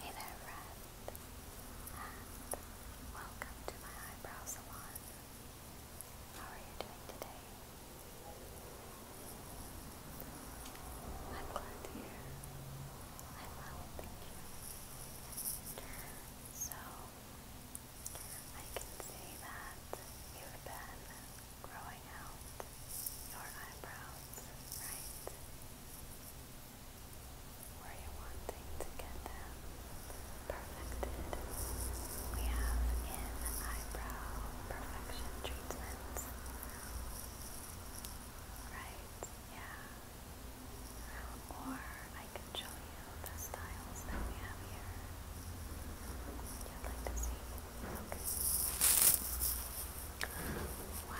Hey there, friend, welcome to my eyebrow salon. How are you doing today? I'm glad to hear. I'm thank you. So, I can see that you've been growing out your eyebrows, right? where you wanting to get them perfected. We have in eyebrow perfection treatments. Right? Yeah. Or I can show you the styles that we have here. You'd like to see? Okay. Wow.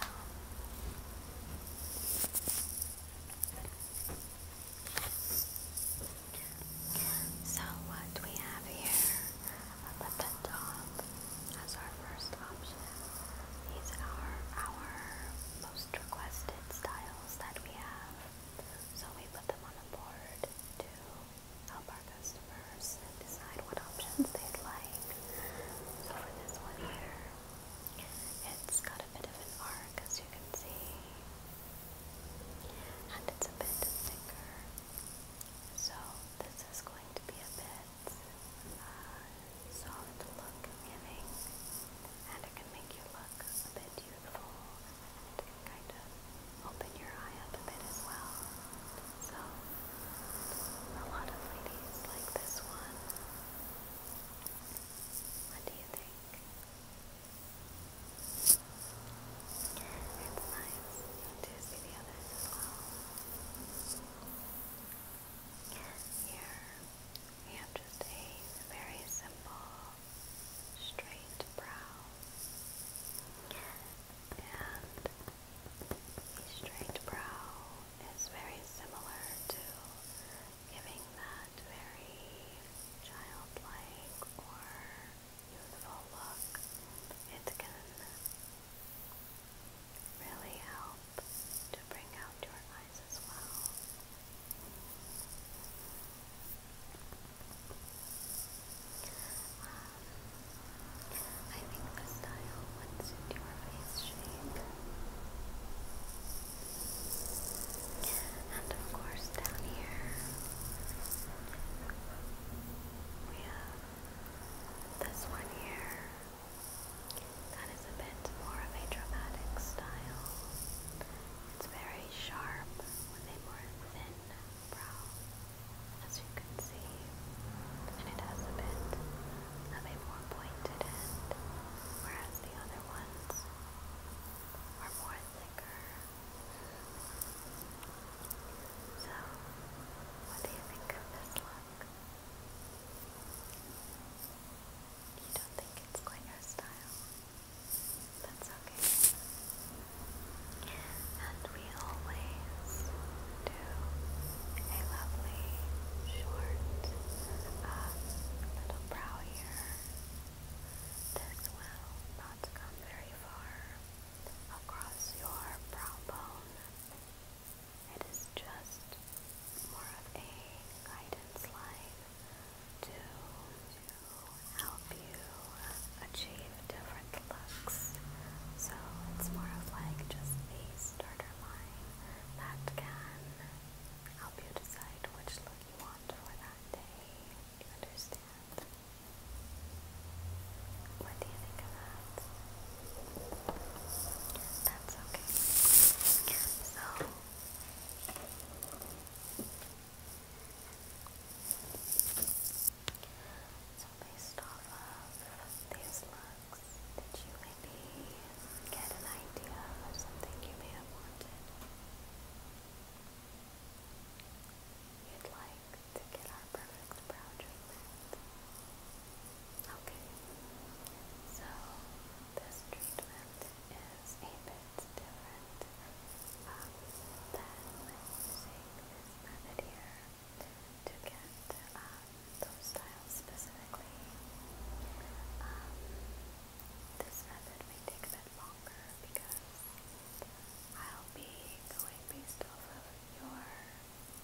So what we have here at the top as our first option. These are our most requested styles that we have. So we put them on a board to help our customers decide what options they'd like. So for this one here, it's got a bit of an arc, as you can see, and it's a bit thicker. So this is going to be a bit uh, soft look and it can make you look a bit youthful, and it can kind of open your eye up a bit as well. So a lot of ladies like this one. What do you think? It's nice to see the others Here we have just a very simple straight brow and a straight brow is very similar to giving that very childlike or youthful look. It can really help to bring out your eyes as well. Um, I think the style what's your face shape. And of course down here we have this one here. That is a bit more of a dramatic style. It's very sharp with a more thin brow, as you can see. And it has a bit have a more pointed end, whereas the other ones are more thicker. So, what do you think of this look? You don't think it's quite your style? That's okay. And we always a lovely short little brow here. This will not come very far across your brow bone. It is just more of a guidance line to, to help you achieve different looks. So it's more of like just a starter line that can help you decide which look you want for that day. You understand? What do you think of that? That's okay. So, so based off of these looks, that you maybe get an idea of something you may have wanted. You'd like to get our perfect brow treatment. Okay, so this treatment is a bit different um, than using this method here to get um, those styles specifically. Um, this method may take a bit longer because I'll be going based off of your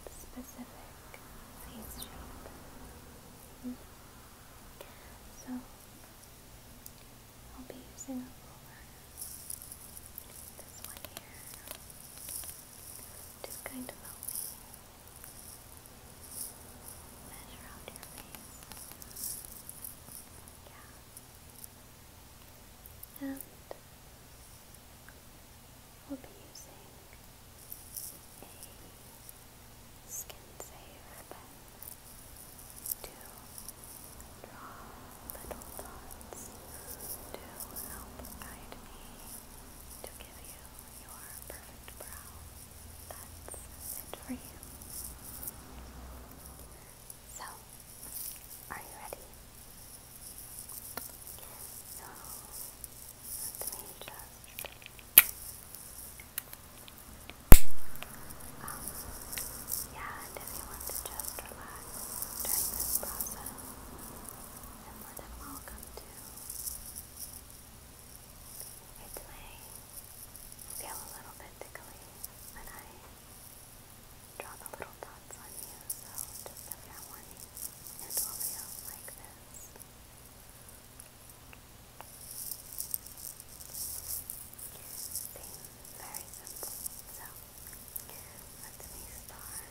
specific face mm-hmm. So, I'll be using this one here, to kind of help me measure And we'll be using a skin safe pen to draw little help guide me to give you your perfect brow. That's it for you. So, are you ready? So, let me just... Um, yeah, and if you want to just relax during this process, then more than welcome to. It may feel a little bit tickly when I draw the little dots on you, so just a fair warning, will feel like this. Seems very simple, so let me start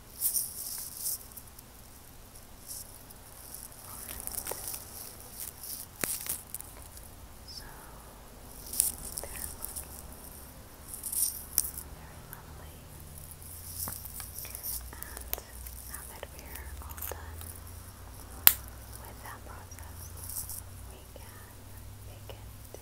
So they're looking very lovely. And now that we're all done with that process, we can begin to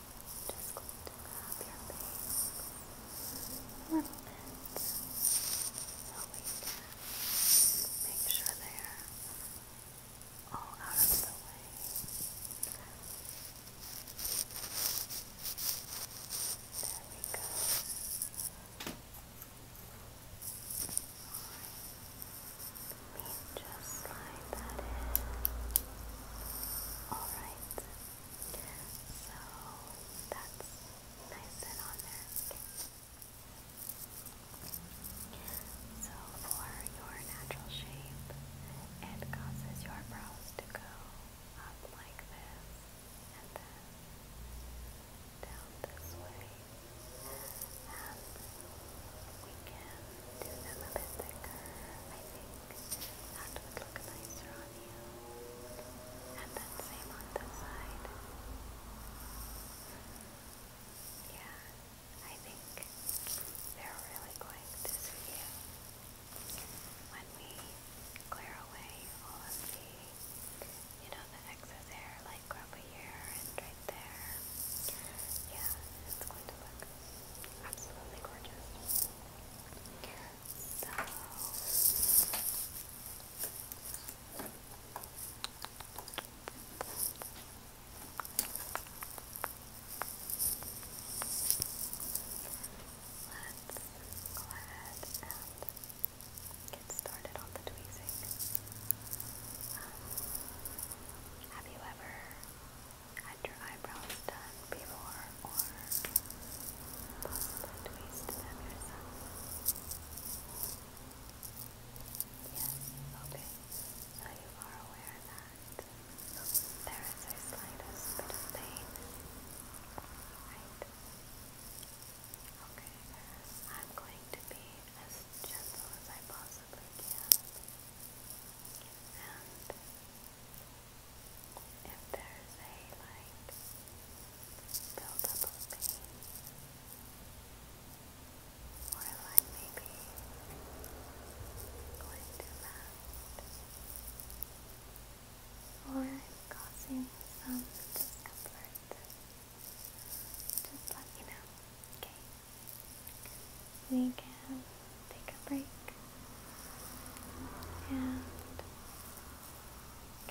just going to grab your face a so we make sure they're all out of the way. There we go. Let me just slide that in. Alright. So that's nice and on there. So for your natural shape, it causes your brows to go up like this and then down this way we can do them a bit thicker. I think that would look nicer on you. And then same on this side. Yeah, I think they're really going to suit you. When we clear away all of the, you know, the excess hair, like over here and right there, yeah, it's going to look absolutely gorgeous. So Let's go ahead and get started on the tweezing. Um, have you ever had your eyebrows done before or possibly twist them yourself? Yes, okay. So you are aware that there is a slightest bit of pain, right? Okay, I'm going to be as gentle as I possibly can. And if there's a like build up of pain, or like maybe going too loud, or causing some discomfort, just let me know, okay? we can take a break and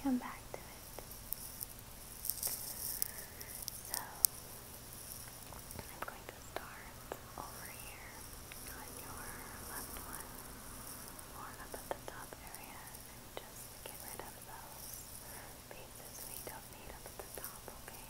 come back to it. So I'm going to start over here on your left one or up at the top area and just get rid of those pieces we don't need up at the top, okay?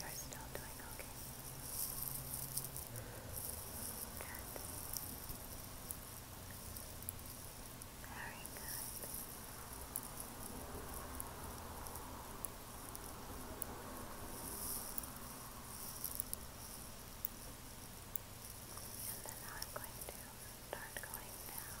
You're still doing okay. Good. Very good. And then I'm going to start going down.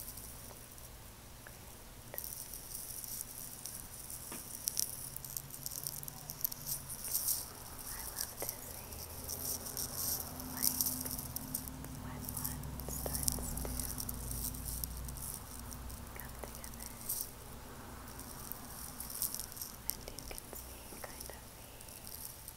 Great. I love to see like when one starts come together and you can see kind of the before and after.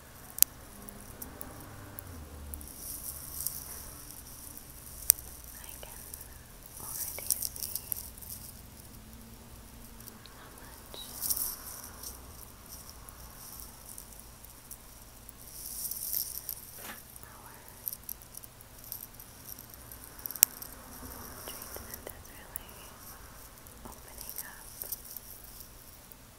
I can already see how much our treatment is really opening up.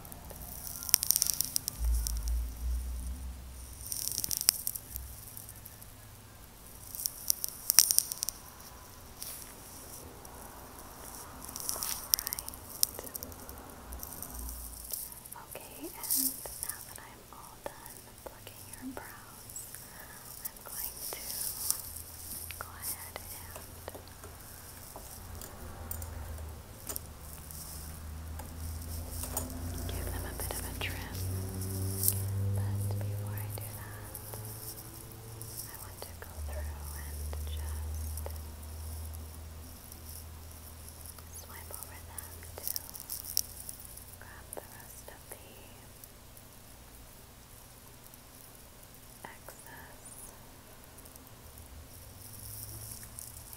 Okay, and now that I'm all done plucking your brows, I'm going to go ahead and Give them a bit of a trim. But before I do that, I want to go through and just swipe over them to grab the rest of the excess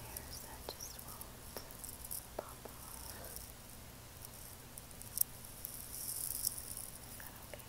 hairs that just won't pop off. Is that okay? Okay.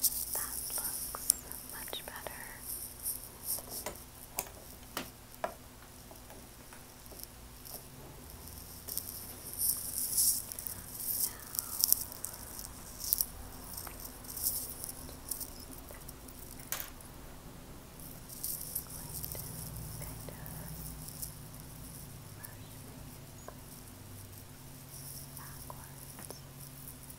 So that looks much better. Backwards, backwards, backwards, backwards, backwards,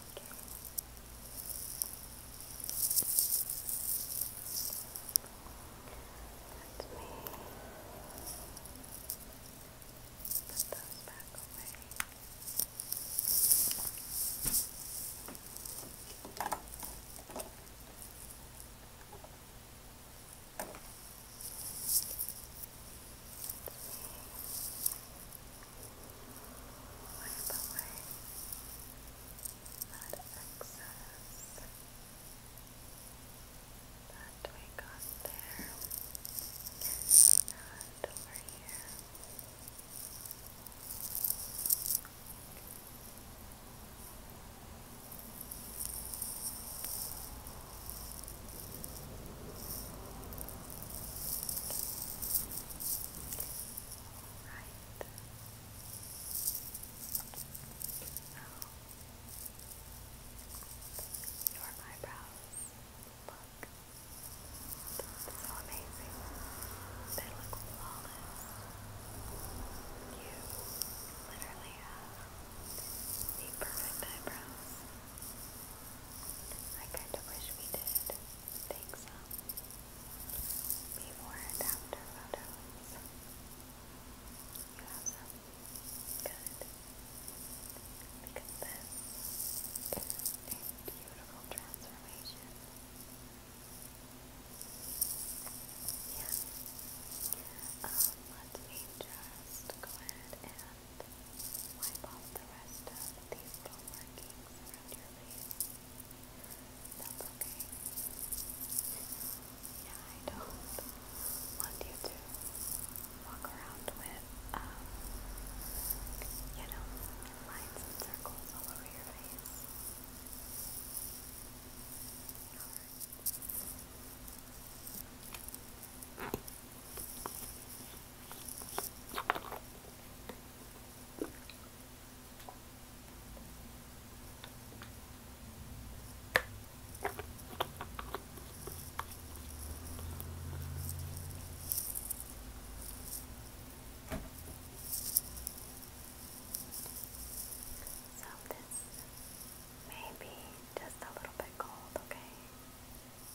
Let me put those back away. Let me Wipe away that excess that we got there and over here. Right. your eyebrows look so amazing. They look flawless. You literally have the perfect eyebrows. I kinda wish we did take some before and after photos. You Good. Because this is a beautiful transformation. Yeah. Um, let me just go ahead and hand, wipe off the rest of the evil markings around your face. okay. Yeah, I don't want you to walk around with, um, you know, lines and circles all over your face. Alright. So this just a little bit cold, okay?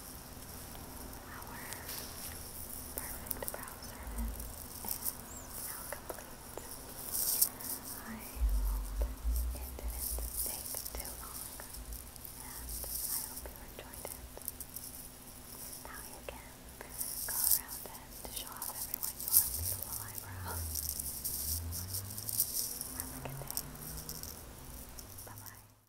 Our perfect brow is now complete. I hope it didn't take too long, and I hope you enjoyed it. Now you go around and show off everyone beautiful eyebrows. Have a good day. Bye bye.